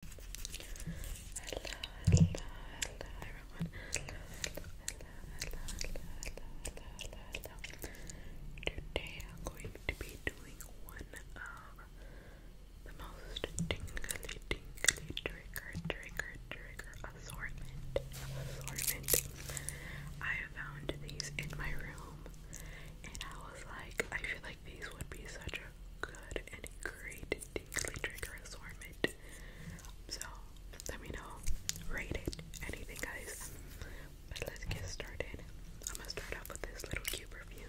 Today I'm going to be doing one of the most tingly, tingly trigger, trigger, trigger assortment. I found these in my room, and I was like, I feel like these would be such a good and great it deeply triggers So let me know. Rate it. Anything guys. But let's get started. I'm gonna start off with this little cube review.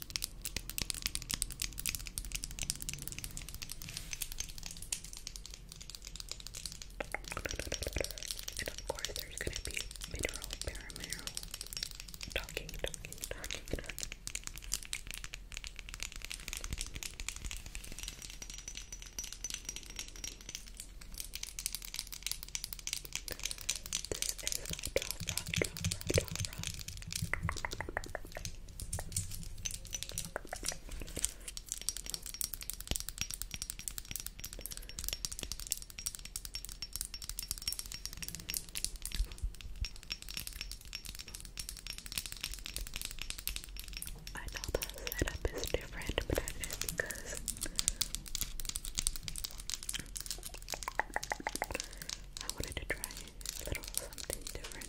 And of course, there's going to be mineral, paramineral, talking, talking, talking, talking. This is a drop, drop, drop, drop, drop, I know the setup is different, but that is because I wanted to try a little something different.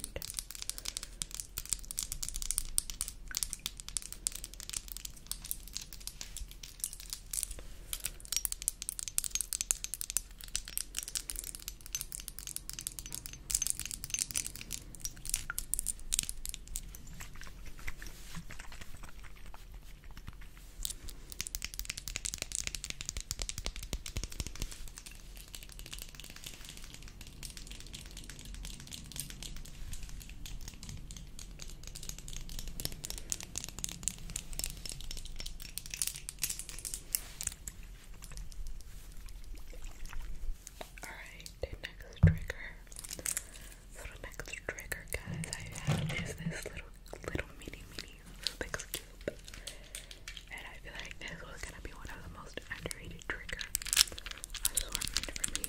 Alright, next trigger. So next trigger guys is this little little mini mini Rubik's Cube. And I feel like this was gonna be one of the most underrated trigger assortment for me.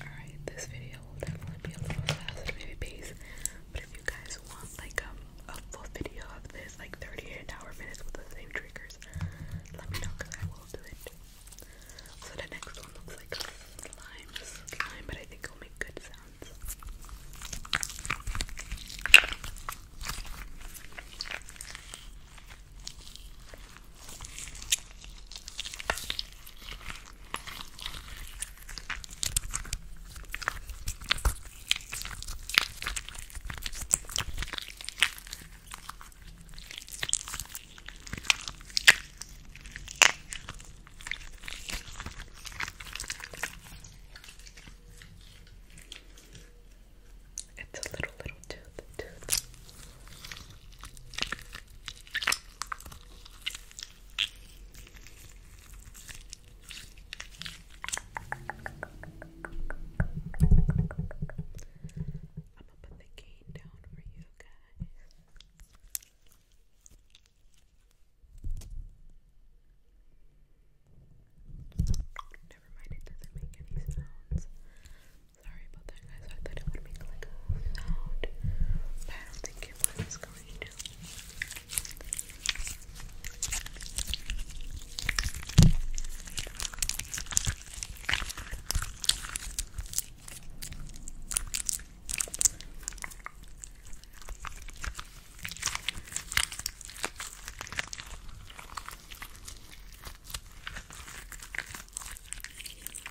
Alright, this video video will definitely be a little faster, maybe pace. But if you guys want like a, um, a full video of this, like 38 hour minutes with the same triggers, let me know because I will do it. So the next one looks like slime, slime, but I think it'll make good sounds. It's a little little tooth gonna put the cane down for you guys. Never mind, it doesn't make any sounds. Sorry about that, guys. I thought it would make like a sound, I don't think it was going to.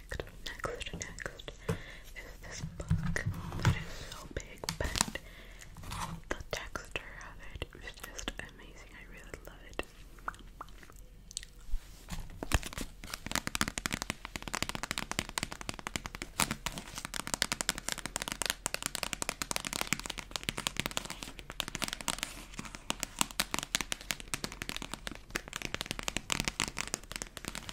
next, next, next is this book that is so big, but the texture of it is just amazing. I really love it.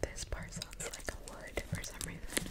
This part sounds like a wood for some reason.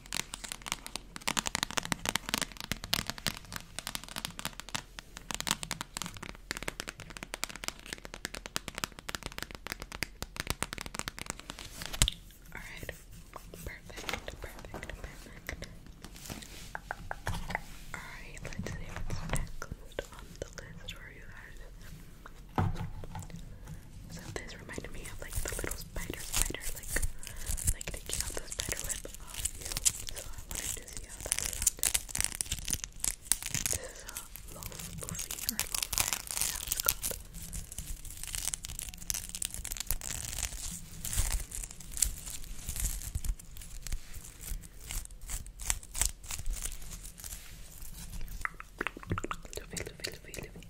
All right. Perfect. Perfect. Perfect. All right. Let's see what's next on the list for you guys. So this reminded me of like the little spider spider, like like taking out the spider web off you. So I wanted to see how that sounded. This is a loaf loofy or loaf, I don't know how it's called. Loofy, loofy, loofy, loofy.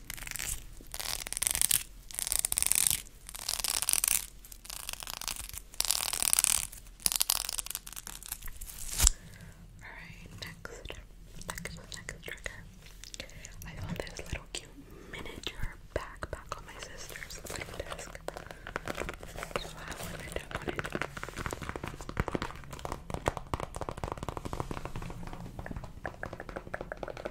Alright, next, next, next trigger. I found this little cute miniature backpack on my sister's desk.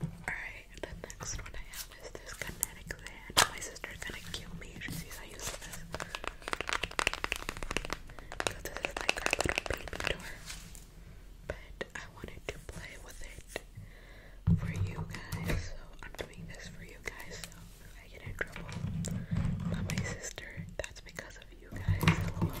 Alright, the next one I have is this kinetic sand. My sister's gonna kill me if she sees I use this. Because this is like our little baby door. But I wanted to play with it for you guys, so I'm doing this for you guys. So if I get in trouble by my sister, that's because of you guys. Hello.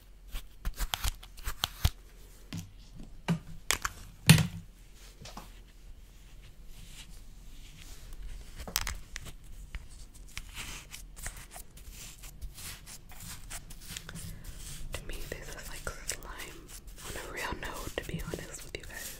To me, this is like slime on a real note, to be honest with you guys.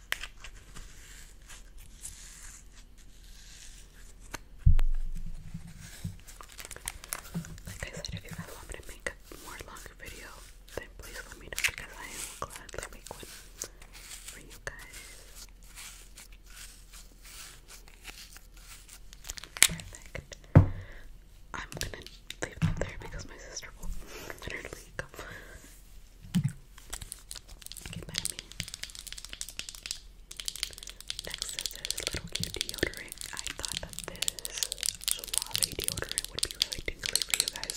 Like I said, if you guys want me to make a more longer video, then please let me know because I am glad to make one for you guys. Perfect. I'm gonna leave them there because my sister will literally come Okay, Next is this little cute deodorant. I thought that this suave deodorant would be really tingly for you guys.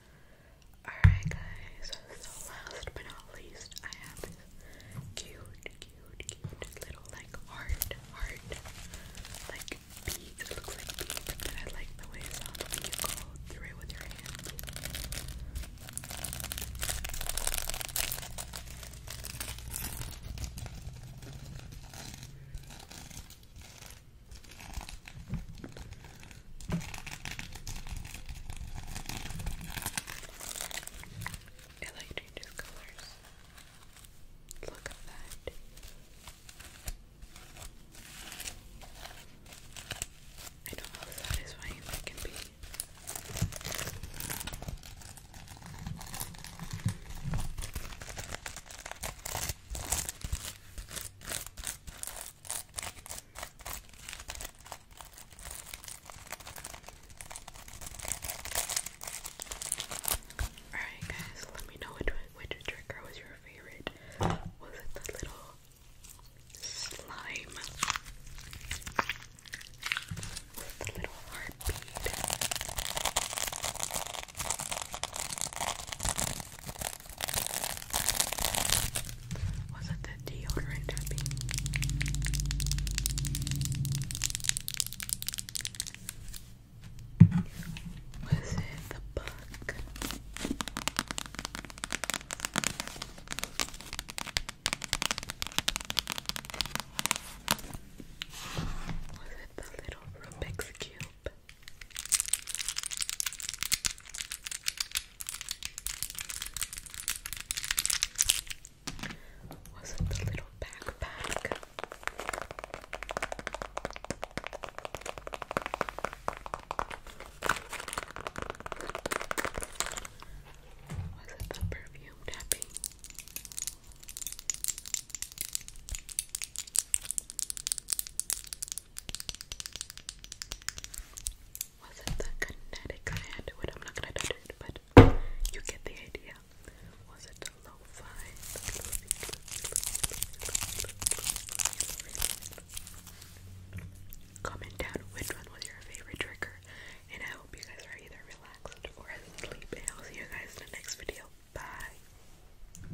Alright guys, so last but not least, I have this cute, cute, cute little like heart, heart, like beads. It looks like beads, but I like the way it sounds. I think you it with your hands. It like changes colors. Look at that. I don't know how satisfying that can be. Alright guys, let me know which which trigger was your favorite. Was it the little slime? Was the little heartbeat? Was it the deodorant Was it the book? Was it the little Rubik's Cube? Was it the little backpack? Was it the perfume tapping? Wasn't the kinetic land? I'm not gonna do it, but you get the idea. Was it the low Comment down which one was your favorite trigger, and I hope you guys are either relaxed or asleep. And I'll see you guys in the next video. Bye.